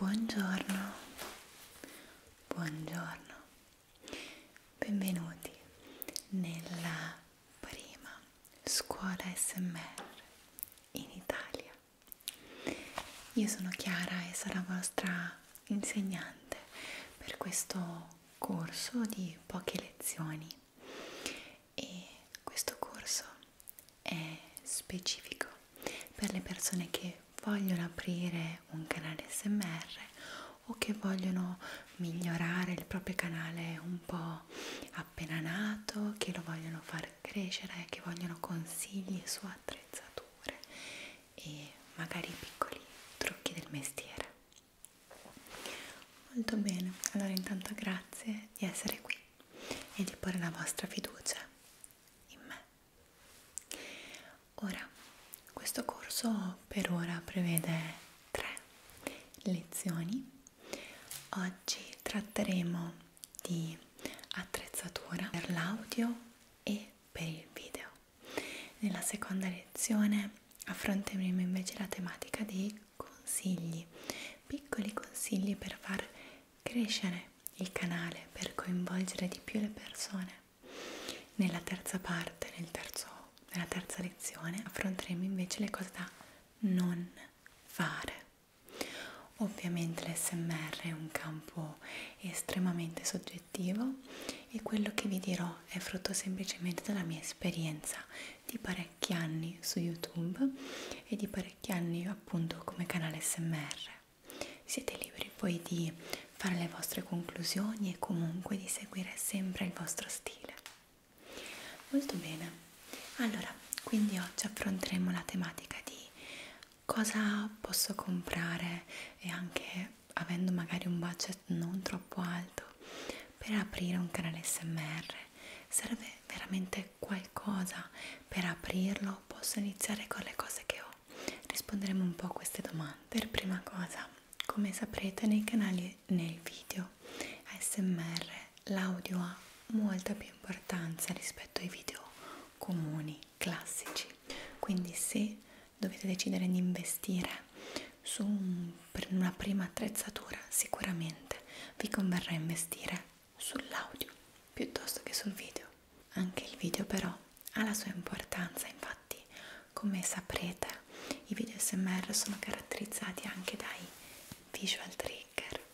Buongiorno, buongiorno, benvenuti nella prima scuola SMR in Italia. Io sono Chiara e sarò vostra insegnante per questo corso di poche lezioni e questo corso è specifico per le persone che vogliono aprire un canale SMR o che vogliono migliorare il proprio canale un po' appena nato, che lo vogliono fare far crescere, eh, che vogliono consigli su attrezzature e magari piccoli trucchi del mestiere. Molto bene, allora intanto grazie di essere qui e di porre la vostra fiducia in me. Ora, questo corso per ora prevede tre lezioni. Oggi tratteremo di attrezzatura per l'audio e per il video. Nella seconda lezione affronteremo invece la tematica dei consigli, piccoli consigli per far crescere il canale, per coinvolgere di più le persone. Nella terza parte, nel terzo, nella terza lezione, affronteremo invece le cose da non fare. Ovviamente l'SMR è un campo estremamente soggettivo e quello che vi dirò è frutto semplicemente della mia esperienza di parecchi anni su YouTube e di parecchi anni appunto come canale SMR. Siete liberi poi di fare le vostre conclusioni e comunque di seguire sempre il vostro stile. Molto bene allora quindi oggi affronteremo la tematica di cosa posso comprare e anche avendo magari un budget non troppo alto per aprire un canale smr serve veramente qualcosa per aprirlo posso iniziare con le cose che ho risponderemo un po' a queste domande per prima cosa come saprete nei canali nei video ASMR l'audio ha molta più importanza rispetto ai video comuni, classici. Quindi se dovete decidere di investire su un, una prima attrezzatura, sicuramente vi converrà investire sull'audio piuttosto che sul video. Anche il video però ha la sua importanza, infatti come saprete i video SMR sono caratterizzati anche dai visual trigger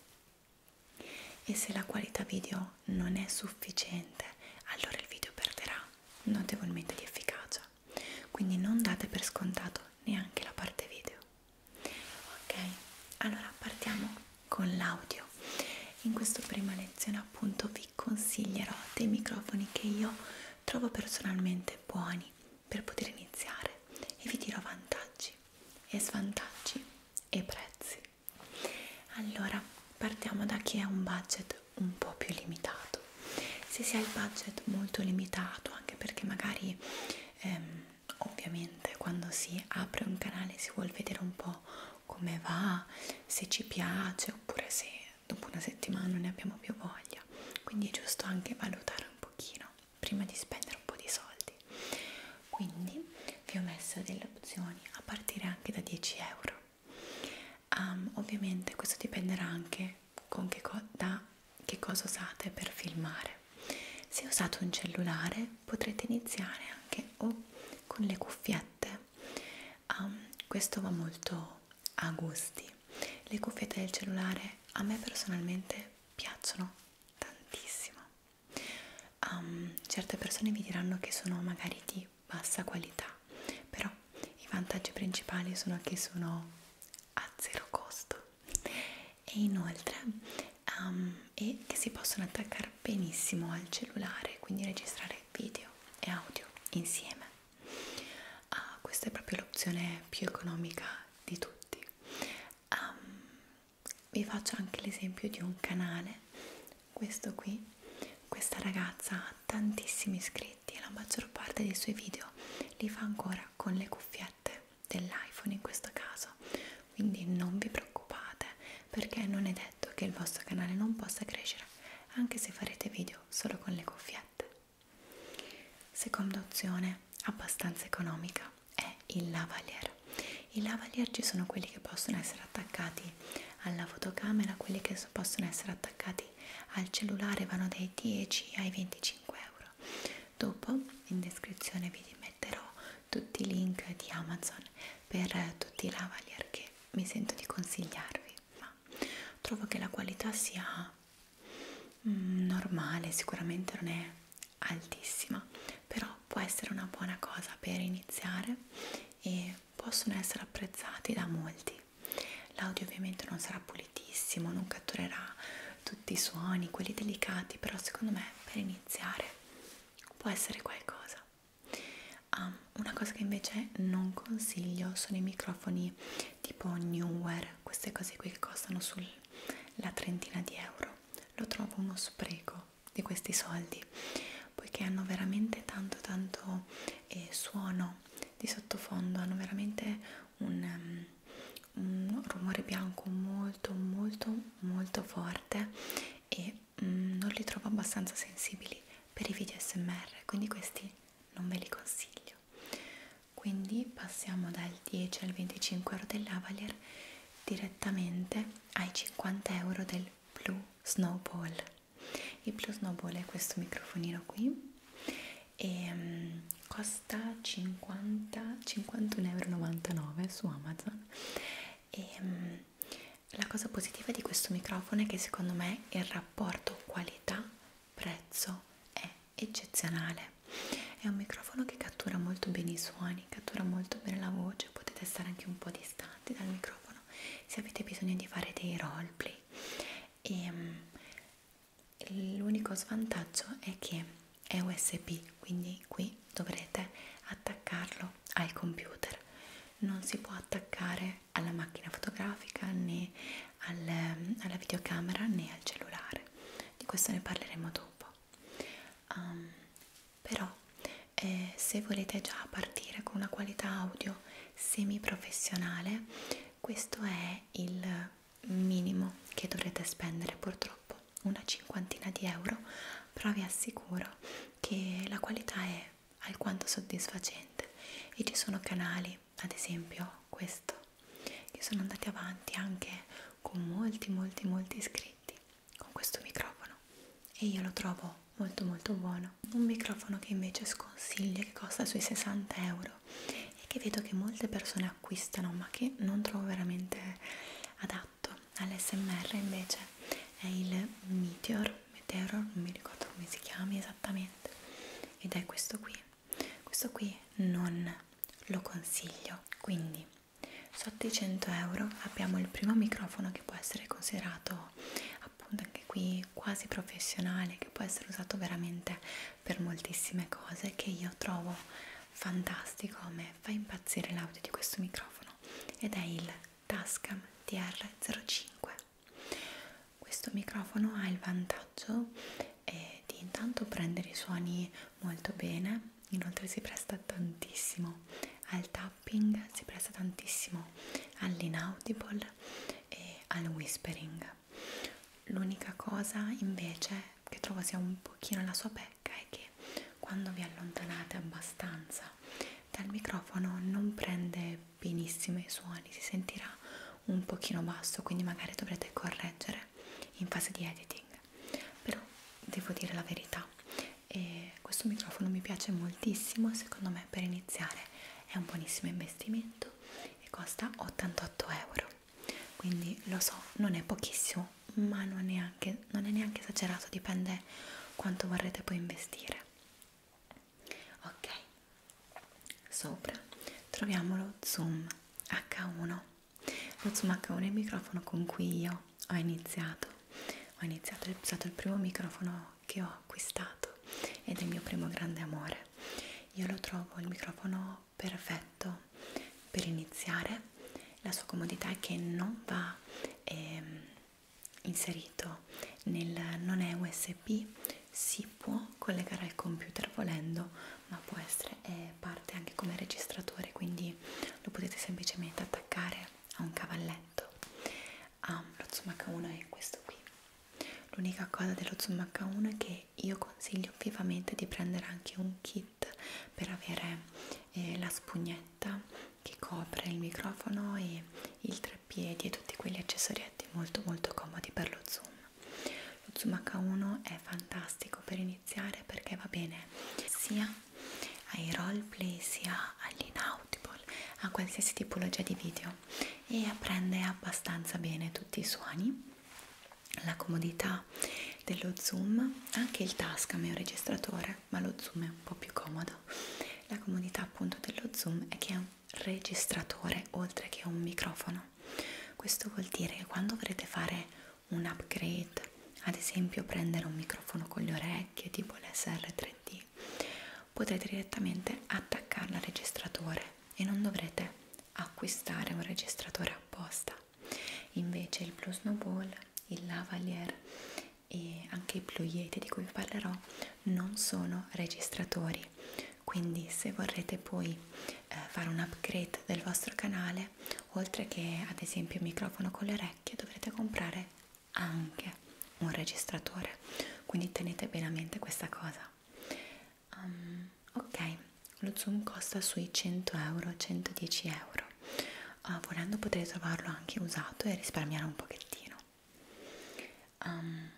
e se la qualità video non è sufficiente allora il video perderà notevolmente di efficacia quindi non date per scontato neanche la parte video ok allora partiamo con l'audio in questa prima lezione appunto vi consiglierò dei microfoni che io trovo personalmente buoni per poter iniziare e vi dirò vantaggi e svantaggi e prezzi. Allora, partiamo da chi ha un budget un po' più limitato. Se si ha il budget molto limitato, anche perché magari ehm, ovviamente quando si apre un canale si vuol vedere un po' come va, se ci piace oppure se dopo una settimana non ne abbiamo più voglia. Quindi è giusto anche valutare un pochino prima di spendere un po' di soldi quindi vi ho messo delle opzioni a partire anche da 10 euro um, ovviamente questo dipenderà anche con che da che cosa usate per filmare se usate un cellulare potrete iniziare anche o con le cuffiette um, questo va molto a gusti le cuffiette del cellulare a me personalmente piacciono tantissimo um, certe persone vi diranno che sono magari di bassa qualità però i vantaggi principali sono che sono a zero costo e inoltre um, ehm, è che si possono attaccare benissimo al cellulare quindi registrare video e audio insieme uh, questa è proprio l'opzione più economica di tutti um, vi faccio anche l'esempio di un canale questo qui questa ragazza ha tantissimi iscritti e la maggior parte dei suoi video li fa ancora con le cuffiette dell'iPhone in questo caso quindi non vi preoccupate perché non è detto che il vostro canale non possa crescere anche se farete video solo con le cuffiette Seconda opzione, abbastanza economica, è il lavalier. I lavalier ci sono quelli che possono essere attaccati alla fotocamera, quelli che possono essere attaccati al cellulare vanno dai 10 ai 25 euro. Dopo in descrizione vi metterò tutti i link di Amazon per tutti i lavalier che mi sento di consigliarvi. Ma trovo che la qualità sia Mm, normale, sicuramente non è altissima, però può essere una buona cosa per iniziare e possono essere apprezzati da molti. L'audio ovviamente non sarà pulitissimo, non catturerà tutti i suoni, quelli delicati, però secondo me per iniziare può essere qualcosa. Um, una cosa che invece non consiglio sono i microfoni tipo Newware, queste cose qui che costano sulla trentina di euro, lo trovo uno spreco di questi soldi poiché hanno veramente tanto tanto eh, suono di sottofondo, hanno veramente un, um, un rumore bianco molto molto molto forte e um, non li trovo abbastanza sensibili per i video smr quindi questi non ve li consiglio meglio quindi passiamo dal 10 al 25 euro del Lavalier direttamente ai 50 euro del Blue Snowball il Blue Snowball è questo microfonino qui ehm, e um, costa 50 51,99 euro su Amazon e um, la cosa positiva di questo microfono è che secondo me il rapporto qualità prezzo è eccezionale è un microfono che cattura molto bene i suoni cattura molto bene la voce potete stare anche un po' distanti dal microfono se avete bisogno di fare dei roleplay e ehm, l'unico svantaggio è che è usb quindi qui dovrete attaccarlo al computer non si può attaccare alla macchina fotografica né al, ehm, alla videocamera né al cellulare di questo ne parleremo dopo um, però eh, se volete già partire con una qualità audio semi professionale questo è il minimo che dovrete spendere purtroppo una cinquantina di euro però vi assicuro che la qualità è alquanto soddisfacente e ci sono canali poi ad esempio questo che sono andati avanti anche con molti molti molti iscritti con questo microfono e io lo trovo molto molto buono un microfono che invece sconsiglio che costa sui 60 euro e che vedo che molte persone acquistano ma che non trovo veramente adatto all'SMR invece è il Meteor Meteor non mi ricordo come si chiami esattamente ed è questo qui questo qui non lo consiglio quindi sotto i 100 euro abbiamo il primo microfono che può essere considerato appunto anche qui quasi professionale che può essere usato veramente per moltissime cose che io trovo fantastico a me fa impazzire l'audio di questo microfono ed è il Tascam TR05 questo microfono ha il vantaggio eh, di intanto prendere i suoni molto bene, inoltre si presta tantissimo al tapping, si presta tantissimo all'inaudible e al whispering. L'unica cosa invece che trovo sia un pochino la sua pecca è che quando vi allontanate abbastanza dal microfono non prende benissimo i suoni, si sentirà un pochino basso, quindi magari dovrete correggere in fase di editing. Però devo dire la verità, e questo microfono mi piace moltissimo, secondo me per iniziare è un buonissimo investimento e costa 88 euro. Quindi lo so, non è pochissimo, ma non è, anche, non è neanche esagerato, dipende quanto vorrete poi investire ok sopra troviamo lo zoom h1 lo zoom h1 è il microfono con cui io ho iniziato ho iniziato è stato il primo microfono che ho acquistato ed è il mio primo grande amore io lo trovo il microfono perfetto per iniziare la sua comodità è che non va ehm, inserito nel non è usb si può collegare al computer volendo ma può essere eh, parte anche come registratore quindi lo potete semplicemente attaccare a un cavalletto ah, lo zoom h1 è questo qui l'unica cosa dello zoom h1 è che io consiglio vivamente di prendere anche un kit per avere eh, la spugnetta che copre il microfono e il marciapiedi e tutti quegli accessorietti molto molto comodi per lo zoom lo zoom H1 è fantastico per iniziare perché va bene sia ai roleplay sia agli inaudible a qualsiasi tipologia di video e apprende abbastanza bene tutti i suoni la comodità dello zoom anche il tascam è un registratore ma lo zoom è un po' più comodo la comodità appunto dello zoom è che è un registratore oltre che un microfono questo vuol dire che quando vorrete fare un upgrade ad esempio prendere un microfono con le orecchie tipo l'SR3D potrete direttamente attaccarlo al registratore e non dovrete acquistare un registratore apposta invece il Blue Snowball, il Lavalier e anche i ploieti di cui vi parlerò non sono registratori quindi se vorrete poi eh, fare un upgrade del vostro canale oltre che ad esempio il microfono con le orecchie dovrete comprare anche un registratore quindi tenete bene a mente questa cosa um, ok lo zoom costa sui 100 euro 110 euro uh, volendo potrete trovarlo anche usato e risparmiare un pochettino um,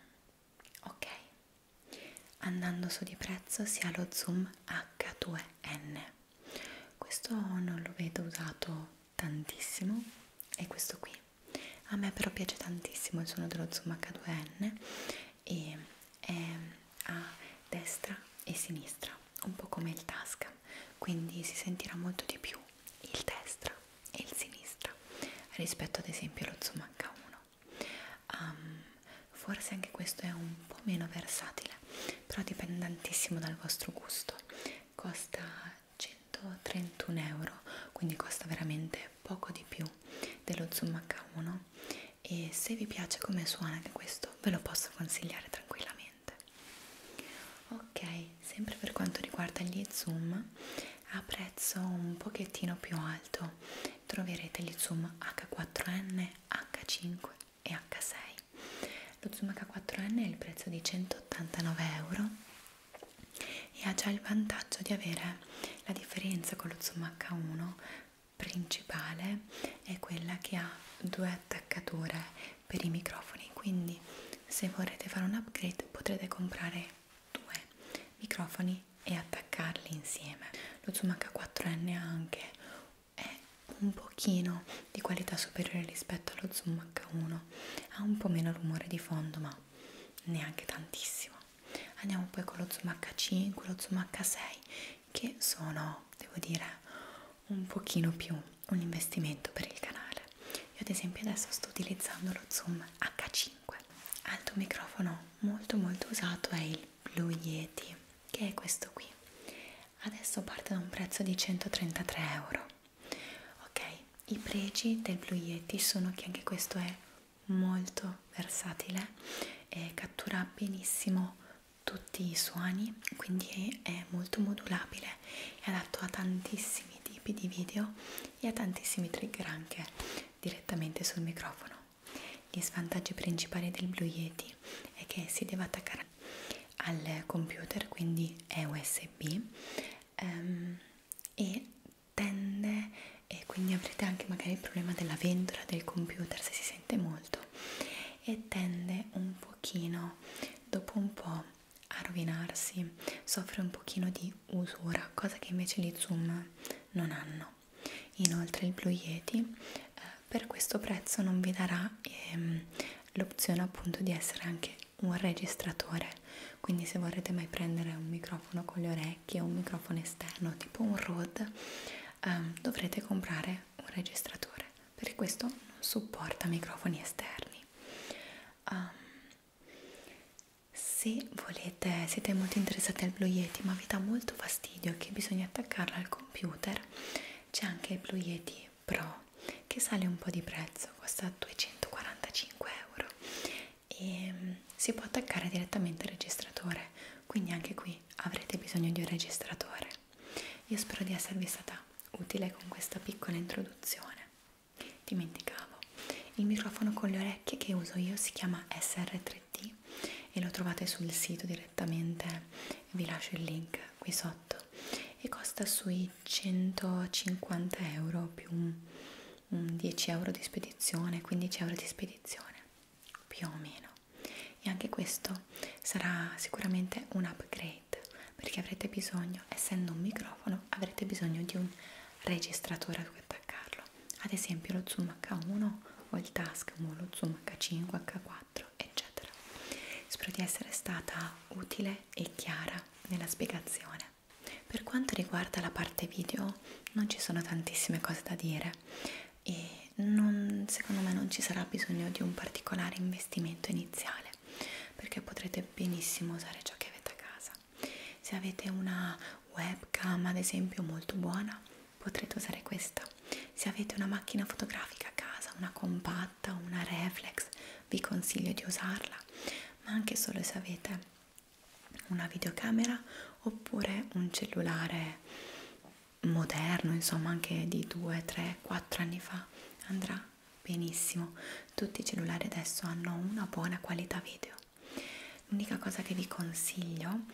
ok andando su di prezzo si ha lo zoom h2n questo non lo vedo usato tantissimo e questo qui a me però piace tantissimo il suono dello zoom h2n e è ehm, a destra e sinistra un po' come il tasca quindi si sentirà molto di più il destra e il sinistra rispetto ad esempio allo zoom H1 um, forse anche questo è un po' meno versatile però dipende tantissimo dal vostro gusto costa 131 euro quindi costa veramente poco di più dello zoom H1 e se vi piace come suona anche questo ve lo posso consigliare tranquillamente sicuramente ok sempre per quanto riguarda gli zoom a prezzo un pochettino più alto troverete gli zoom h4n h5 e h6 lo zoom h4n è il prezzo di 189 euro e ha già il vantaggio di avere la differenza con lo zoom h1 principale è quella che ha due attaccature per i microfoni quindi se vorrete fare un upgrade potrete comprare due microfoni e attaccarli insieme lo zoom h4n anche è un pochino di qualità superiore rispetto allo zoom h1 ha un po' meno rumore di fondo ma neanche tantissimo andiamo poi con lo zoom h5 lo zoom h6 che sono devo dire un pochino più un investimento per il canale. Io ad esempio adesso sto utilizzando lo zoom H5. Altro microfono molto molto usato è il Blue Yeti, che è questo qui. Adesso parte da un prezzo di 133 euro. Ok, i pregi del Blue Yeti sono che anche questo è molto versatile e cattura benissimo tutti i suoni, quindi è molto modulabile utile, è adatto a tantissimi tipi di video e a tantissimi trigger anche direttamente sul microfono. Gli svantaggi principali del Blue Yeti è che si deve attaccare al computer, quindi è USB um, ehm, e tende e quindi avrete anche magari il problema della ventola del computer se si sente molto e tende un pochino dopo un po' a rovinarsi soffre un pochino di usura cosa che invece gli zoom non hanno inoltre il Blue Yeti eh, per questo prezzo non vi darà ehm, l'opzione appunto di essere anche un registratore quindi se vorrete mai prendere un microfono con le orecchie o un microfono esterno tipo un Rode ehm, dovrete comprare un registratore per questo non supporta microfoni esterni um, se volete siete molto interessati al Blue Yeti ma vi dà molto fastidio che bisogna attaccarla al computer c'è anche il Blue Yeti Pro che sale un po' di prezzo costa 245 euro e um, si può attaccare direttamente al registratore quindi anche qui avrete bisogno di un registratore io spero di esservi stata utile con questa piccola introduzione. Dimenticavo, il microfono con le orecchie che uso io si chiama SR3D e lo trovate sul sito direttamente, vi lascio il link qui sotto e costa sui 150 euro più un, un 10 euro di spedizione, 15 euro di spedizione più o meno e anche questo sarà sicuramente un upgrade perché avrete bisogno, essendo un microfono, avrete bisogno di un registratore a cui attaccarlo ad esempio lo zoom H1 o il task o lo zoom H5, H4 eccetera spero di essere stata utile e chiara nella spiegazione per quanto riguarda la parte video non ci sono tantissime cose da dire e non, secondo me non ci sarà bisogno di un particolare investimento iniziale perché potrete benissimo usare ciò che avete a casa se avete una webcam ad esempio molto buona potrete usare questa se avete una macchina fotografica a casa una compatta una reflex vi consiglio di usarla ma anche solo se avete una videocamera oppure un cellulare moderno, insomma anche di 2, 3, 4 anni fa, andrà benissimo. Tutti i cellulari adesso hanno una buona qualità video. L'unica cosa che vi consiglio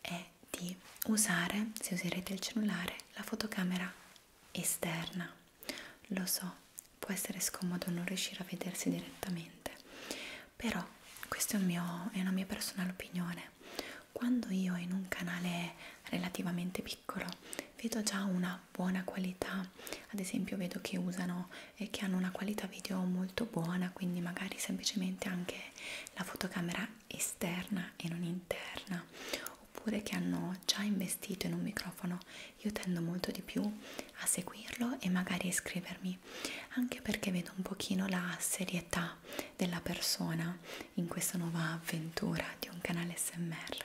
è di usare, se userete il cellulare, la fotocamera esterna. Lo so, può essere scomodo non riuscire a vedersi direttamente, però questa è, un è una mia personale opinione persone. Quando io in un canale relativamente piccolo vedo già una buona qualità, ad esempio vedo che usano e eh, che hanno una qualità video molto buona, quindi magari semplicemente anche la fotocamera esterna e non interna, oppure che hanno già investito in un microfono, io tendo molto di più a seguirlo e magari iscrivermi, anche perché vedo un pochino la serie proprietà della persona in questa nuova avventura di un canale smr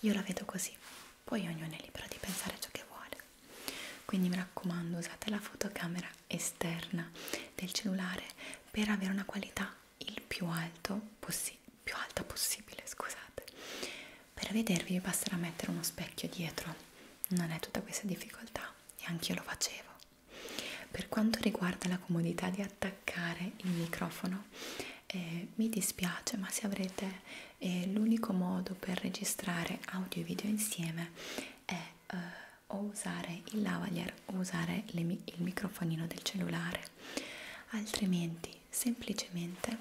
io la vedo così poi ognuno è libero di pensare ciò che vuole quindi mi raccomando usate la fotocamera esterna del cellulare per avere una qualità il più alto possibile più alta possibile, scusate. Per vedervi vi basterà mettere uno specchio dietro, non è tutta questa difficoltà e anch'io lo facevo. Per quanto riguarda la comodità di attaccare il microfono, eh, mi dispiace, ma se avrete eh, l'unico modo per registrare audio e video insieme è eh, o usare il lavalier o usare le, il microfonino del cellulare. Altrimenti, semplicemente,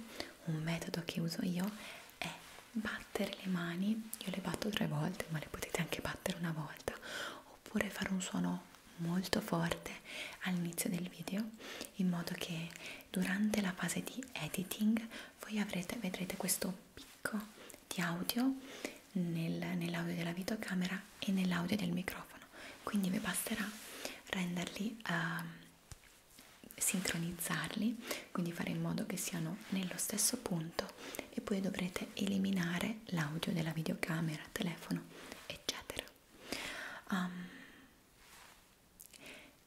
un metodo che uso io è battere le mani, io le batto tre volte, ma le potete anche battere una volta oppure fare un suono molto forte all'inizio del video in modo che durante la fase di editing voi avrete, vedrete questo picco di audio nel, nell'audio della videocamera e nell'audio del microfono quindi vi basterà renderli uh, sincronizzarli quindi fare in modo che siano nello stesso punto e poi dovrete eliminare l'audio della videocamera, telefono, eccetera. Um,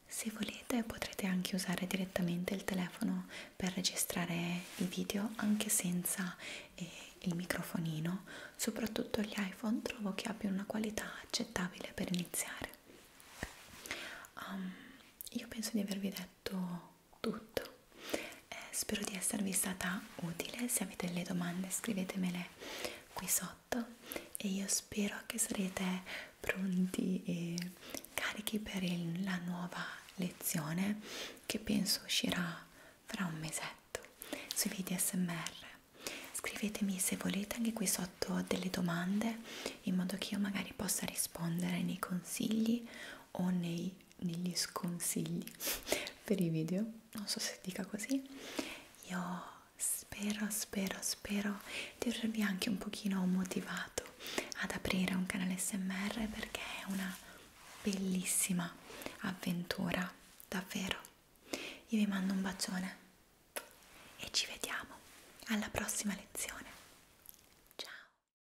se volete potrete anche usare direttamente il telefono per registrare i video anche senza eh, il microfonino, soprattutto gli iPhone trovo che abbiano una qualità accettabile per iniziare. Um, io penso di avervi detto detto tutto eh, spero di esservi stata utile se avete delle domande scrivetemele qui sotto e io spero che sarete pronti e carichi per il, la nuova lezione che penso uscirà fra un mesetto sui video smr scrivetemi se volete anche qui sotto delle domande in modo che io magari possa rispondere nei consigli o nei degli sconsigli per i video, non so se dica così, io spero, spero, spero di avervi anche un pochino motivato ad aprire un canale SMR perché è una bellissima avventura, davvero. Io vi mando un bacione e ci vediamo alla prossima lezione. Ciao!